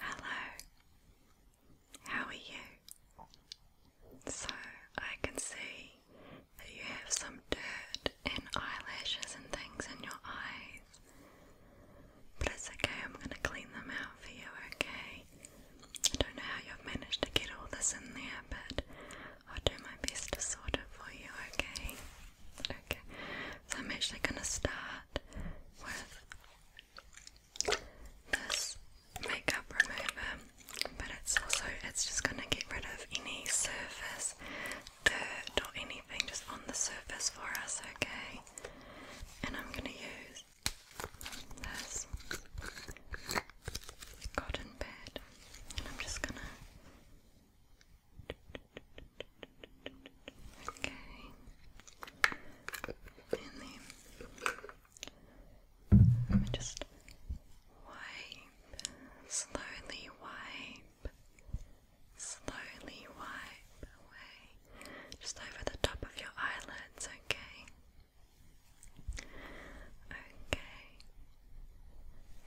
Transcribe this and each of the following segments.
Hello, how are you? So, I can see that you have some dirt and eyelashes and things in your eyes. But it's okay, I'm going to clean them out for you, okay? I don't know how you've managed to get all this in there, but I'll do my best to sort it for you, okay? Okay, so I'm actually going to start with this makeup remover, but it's also it's just gonna get rid of any surface, dirt or anything just on the surface for us, okay? And I'm gonna use this cotton pad, and I'm just gonna. Okay. And then just wipe. Slowly wipe. Slowly wipe Just over the top of your eyelids, okay? Okay.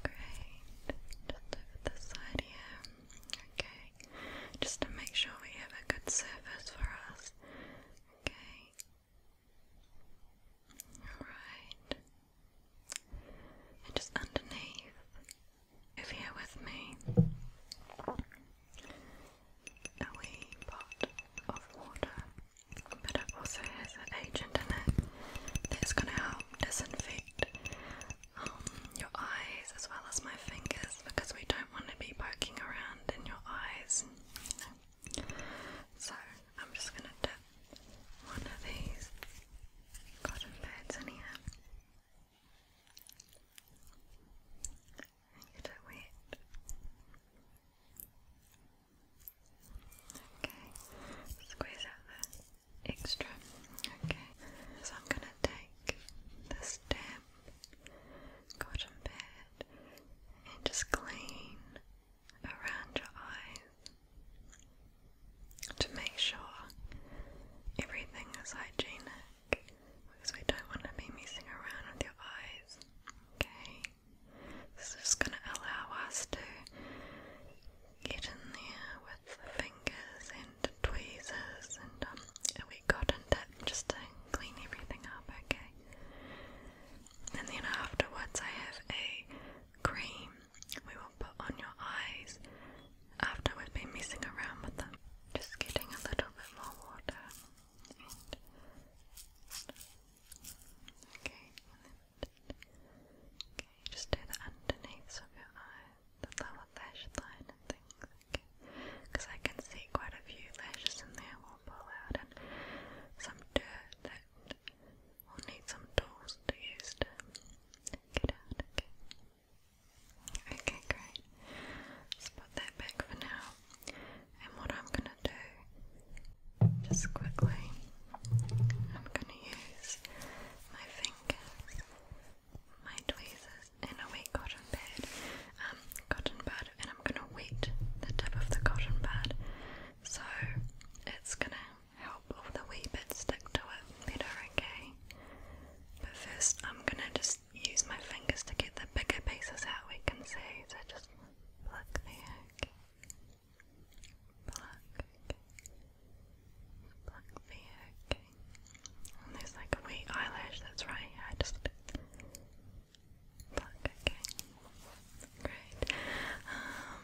Great. Just over the side here. Okay, just to make sure we have a good surface for us. Okay. Alright. And just underneath, if here with me, a wee pot of water, but it also has an agent in it that's going to help disinfect um, your eyes as well as my fingers because we don't want to be poking around in your eyes. So I'm just going to dip one of these cotton pads in here. And get it Okay, squeeze out the extra. Okay, so I'm going to take the stem cotton pad and just clean around your eyes to make sure everything is hygienic because we don't want to be messing around with your eyes. Okay, this is just going to allow us to get in there fingers and tweezers, and um, we got in that just to clean everything up, okay? And then afterwards, I have a cream we will put on your eyes after we've been messing around with them. Just getting a little bit more water. And okay, okay, just do the underneaths of your eyes the lower lash line and things because I can see quite a few lashes in there will pull out and some dirt that will need some tools to use to get out, okay? great. let put that back for now. And what I'm gonna do, just quickly, I'm gonna use my fingers my tweezers and a wet cotton pad. Um, cotton bud, and I'm gonna wet the tip of the cotton pad, so it's gonna help all the wee bits stick to it better, okay? But first, I'm gonna just use my fingers to get the bigger pieces out we can see, so just pluck Pluck, Pluck the okay. And there's like a wee eyelash that's right here. I just pluck, okay. Great. Um,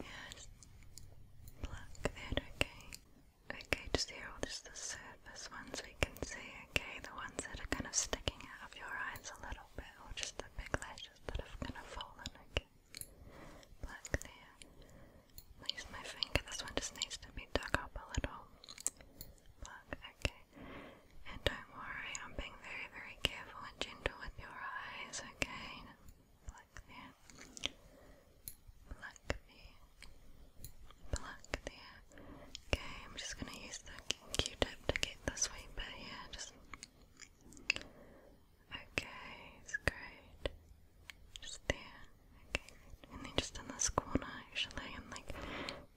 yeah, just pluck that, okay. Okay, just here, just the surface ones we can see, okay. The ones that are kind of sticking out of your eyes a little bit, or just the big lashes that have kind of fallen, black there. At least my finger, this one just needs to be dug up a little. Black, okay. And don't worry, I'm being very, very careful and gentle with your eyes, okay? Black there. Black there. Black there. Okay, I'm just gonna use the Q-tip to get this way, but yeah, just Okay, it's great. Just there. Okay, And then just in this corner actually, and like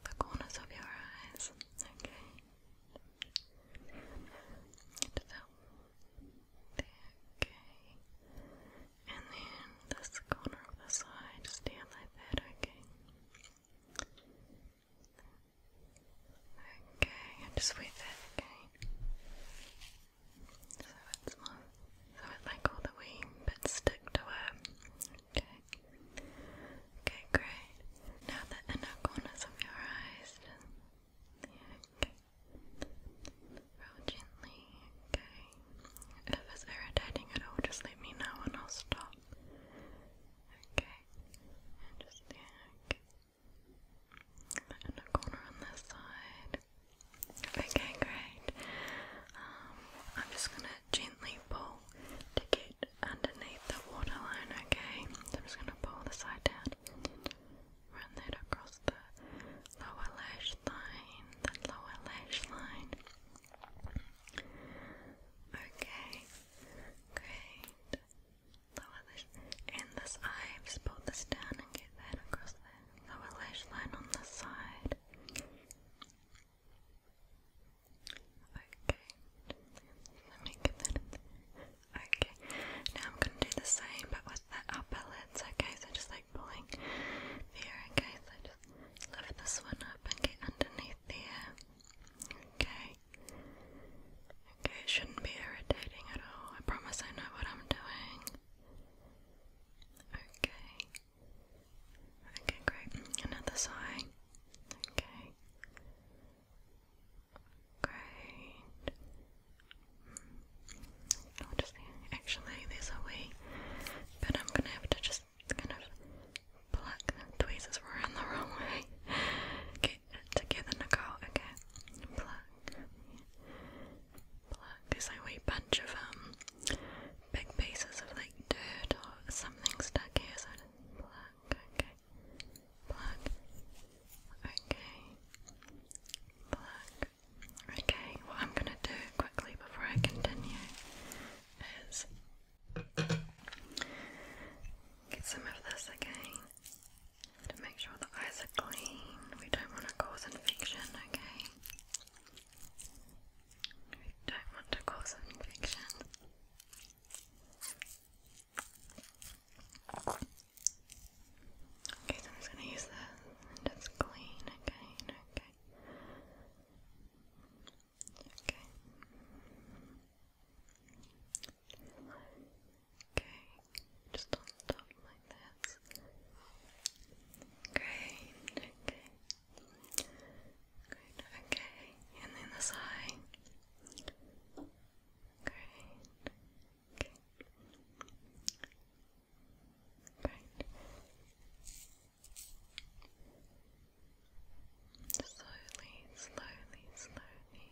the corners of your eyes. Okay. And so, there, okay. And then this corner of the side, just down like that, okay. Okay, and just with that again. So it's more, so it's like all the wee bits stick to it. Okay. Okay, great. Now the inner corners of your eyes. okay. Roll gently. Okay. If it's irritating at all, just let me know and I'll stop. Okay. And just yeah, okay. Okay, great. Um, I'm just gonna gently pull to get underneath the waterline, okay? I'm just gonna pull the side down run that across the lower lash line, the lower lash line. Okay, great lower lash in this eye. pull this down and get that across the lower lash line on this side. Okay, let me get that Okay, now I'm going to do the same but with that upper lids, okay? So just like pulling there, okay? So just lift this one up and get underneath there. Okay, Okay, it shouldn't be irritating at all. I promise I know what I'm doing. Okay. Okay, great. Another side. Okay. Great. I'll just actually there's a way, but I'm gonna have to just kind of pluck the tweezers were in the wrong way. okay, to give them a go, okay? Pluck. Pluck. There's like a bunch of um big pieces of like dirt or something stuck here, so I okay. Pluck. Okay. Pluck. Okay, what I'm gonna do quickly before I continue is get some of this again to make sure the eyes are clean. We don't want to cause infection, okay? We don't want to cause infection. Okay, so I'm just going to use this and it's clean again, okay? Okay. Okay, just on top like this. Great, okay. Great, okay. And then this eye. Great. Okay. Great. Slowly, slowly, slowly.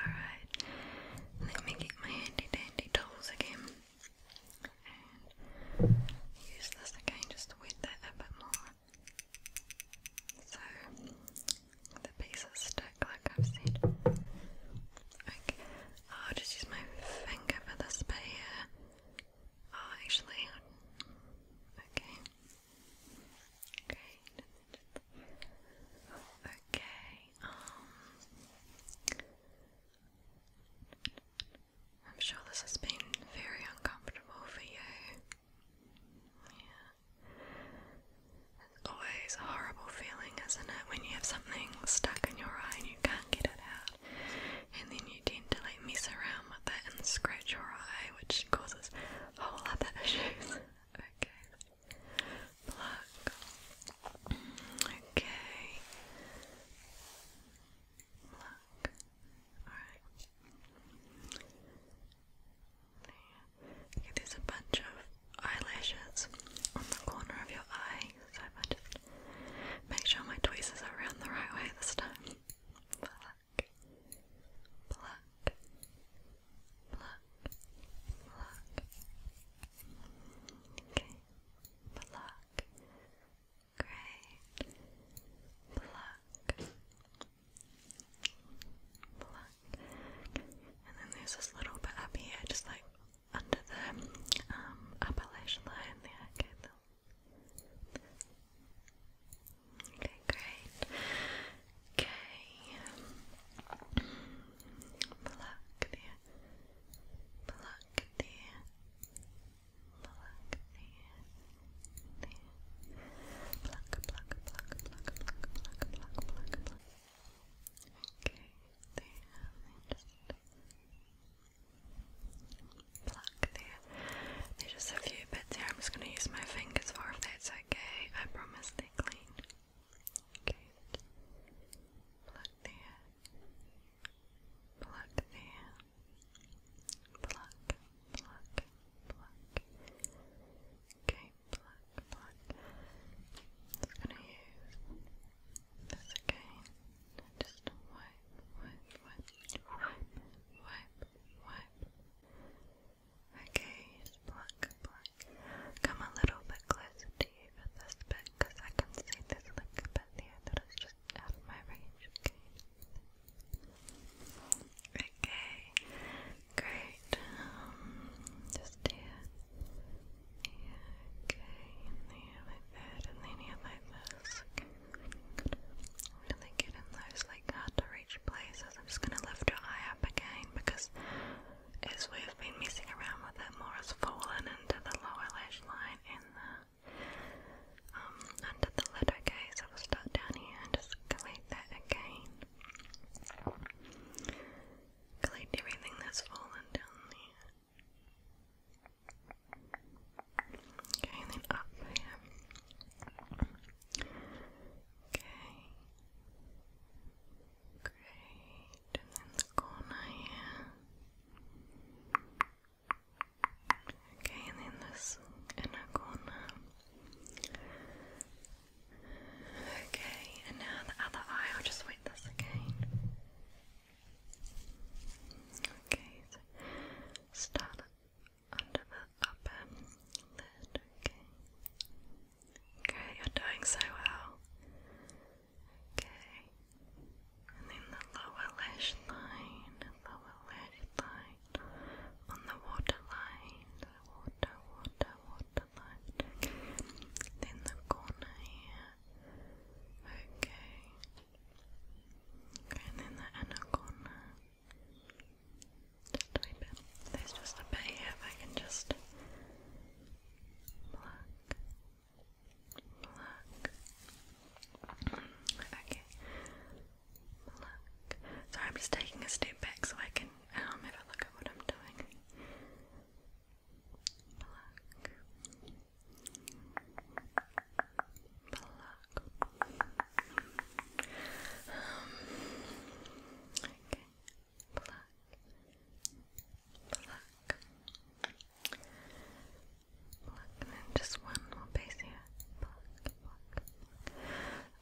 Alright, let me get my handy dandy tools again use this again just wet that a bit more. So the pieces stick like I've said. Okay, I'll just use my finger for this bit here. Oh, actually, okay. Okay. Okay. Um, I'm sure this has been very uncomfortable for you. Yeah. It's always a horrible feeling, isn't it, when you have something stuck in your eye and you can't get it out, and then you tend to like mess around with it and scratch your eye, which causes whole other issues. okay. Pluck. Okay. Pluck. Alright. Okay, there's a bunch of eyelashes on the corner of your eye, so I just make sure my tweezers are around the right way this time. Pluck. Pluck. Pluck. Pluck. Okay. Pluck. Great. Pluck. Pluck. And then there's this little bit up here, just like under the um, line there. Okay, Okay, great. Okay. Pluck, dear. Pluck, dear. Pluck, dear. Dear. Pluck, pluck, pluck, pluck, pluck, pluck, pluck, pluck, Okay, there. just pluck there. There's just a few bits here. I'm just gonna use my fingers for if that's okay. I promise they are clean. Good. Pluck there. Pluck there. Pluck, pluck, pluck. Okay, pluck, pluck. i gonna use this again. Just wipe, wipe, wipe, wipe, wipe. Okay, pluck, pluck, Come a little bit closer to you for bit, because I can see there's like a bit there that is just out of my range, okay? great. Um, just here. Yeah, okay, and there like and then here like this. really get in those like hard to reach places. I'm just gonna lift your eye up again because as we've been messing around with it more, has fallen into the lower lash line in the um, under the lid. so we'll start down here and just collect that again. Collect everything that's fallen down there. Okay, and then up here. Okay. Great. And then the corner here. Okay, and then this inner corner. Okay, and now the other eye, I'll just wet this again. Okay, start under the upper lid, okay. Okay, you're doing so well. Okay, and then the lower lash line, lower lash line on the waterline, water, water, waterline. then the corner here. Okay, okay, and then the inner corner. There's just a bit if I can just pluck, pluck. Okay, pluck. Sorry, I'm just taking a step back so I can um, have a look at what I'm doing. Pluck. Pluck. Um, okay pluck, pluck, pluck, and just one more piece here, pluck, pluck.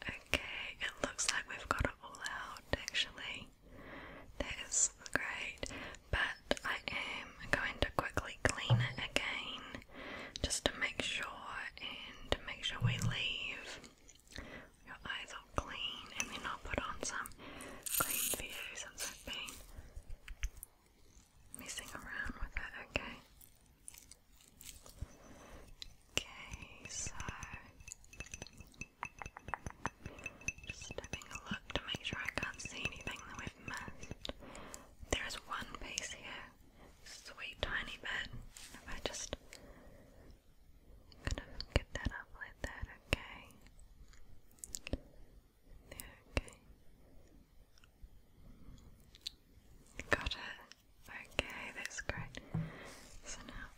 Okay, it looks like we've got it all out actually. That is great, but I am going to quickly clean it again just to make sure and make sure we leave your eyes all clean, and then I'll put on some clean videos since I've messing around with it, okay? Okay, so just having a look to make sure I can't see anything that we've missed. There is one piece here, sweet tiny bit. If I just Kind of get that up like that, okay? There, okay. Got it. Okay, that's great. So now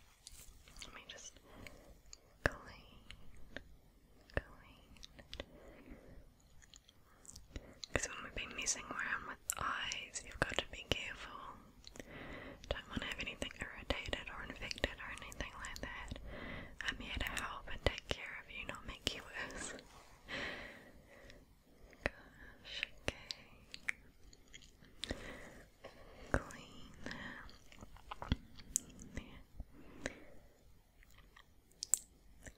let me just clean, clean. Because when we've been messing around with eyes, you've got to be careful. Don't want to have anything irritated or infected or anything like that. I'm here to help and take care of you, not make you worse. Gosh, okay. Clean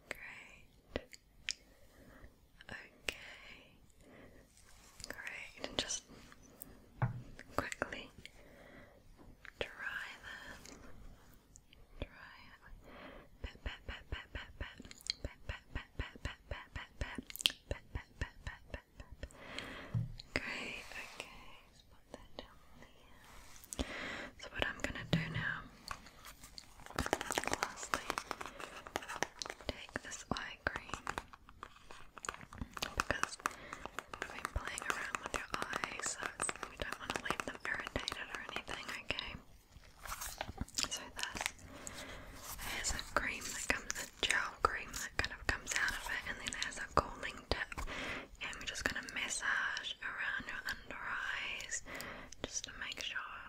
Great. Okay. Great. And just quickly dry that. Dry it. Pet, pet, pet, pet, pet, pet. Pet, pet, pet, pet, pet, pet, pet, pet. Pet, pet, pet, pet, pet, pet. Great. Okay. So what I'm gonna do now. Lastly, take this eye cream because I'm playing around with your eyes, so we don't want to leave them irritated or anything, okay? So this a cream that comes, a gel cream that kind of comes out of it, and then it a cooling tip, and we're just going to massage around your under eyes just to make sure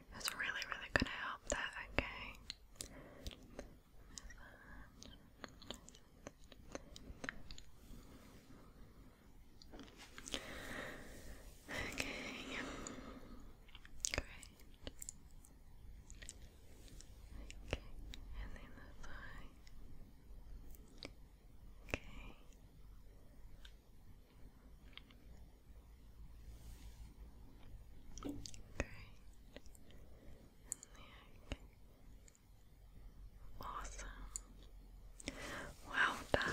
it's really, really gonna help that, okay? Okay. Great. Okay. And then the thigh. Okay. Great. Nick. Awesome. Well done.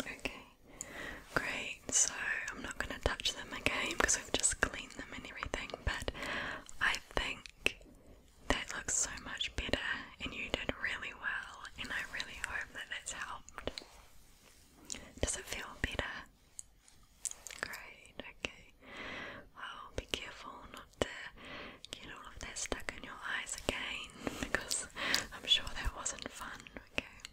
Okay, great so I'm not going to touch them again because I've just cleaned them and everything. But I think that looks so much better, and you did really well, and I really hope that it's helped. Does it feel better? Great, okay. Well, be careful not to get all of that stuck in your eyes again because I'm sure that wasn't fun, okay.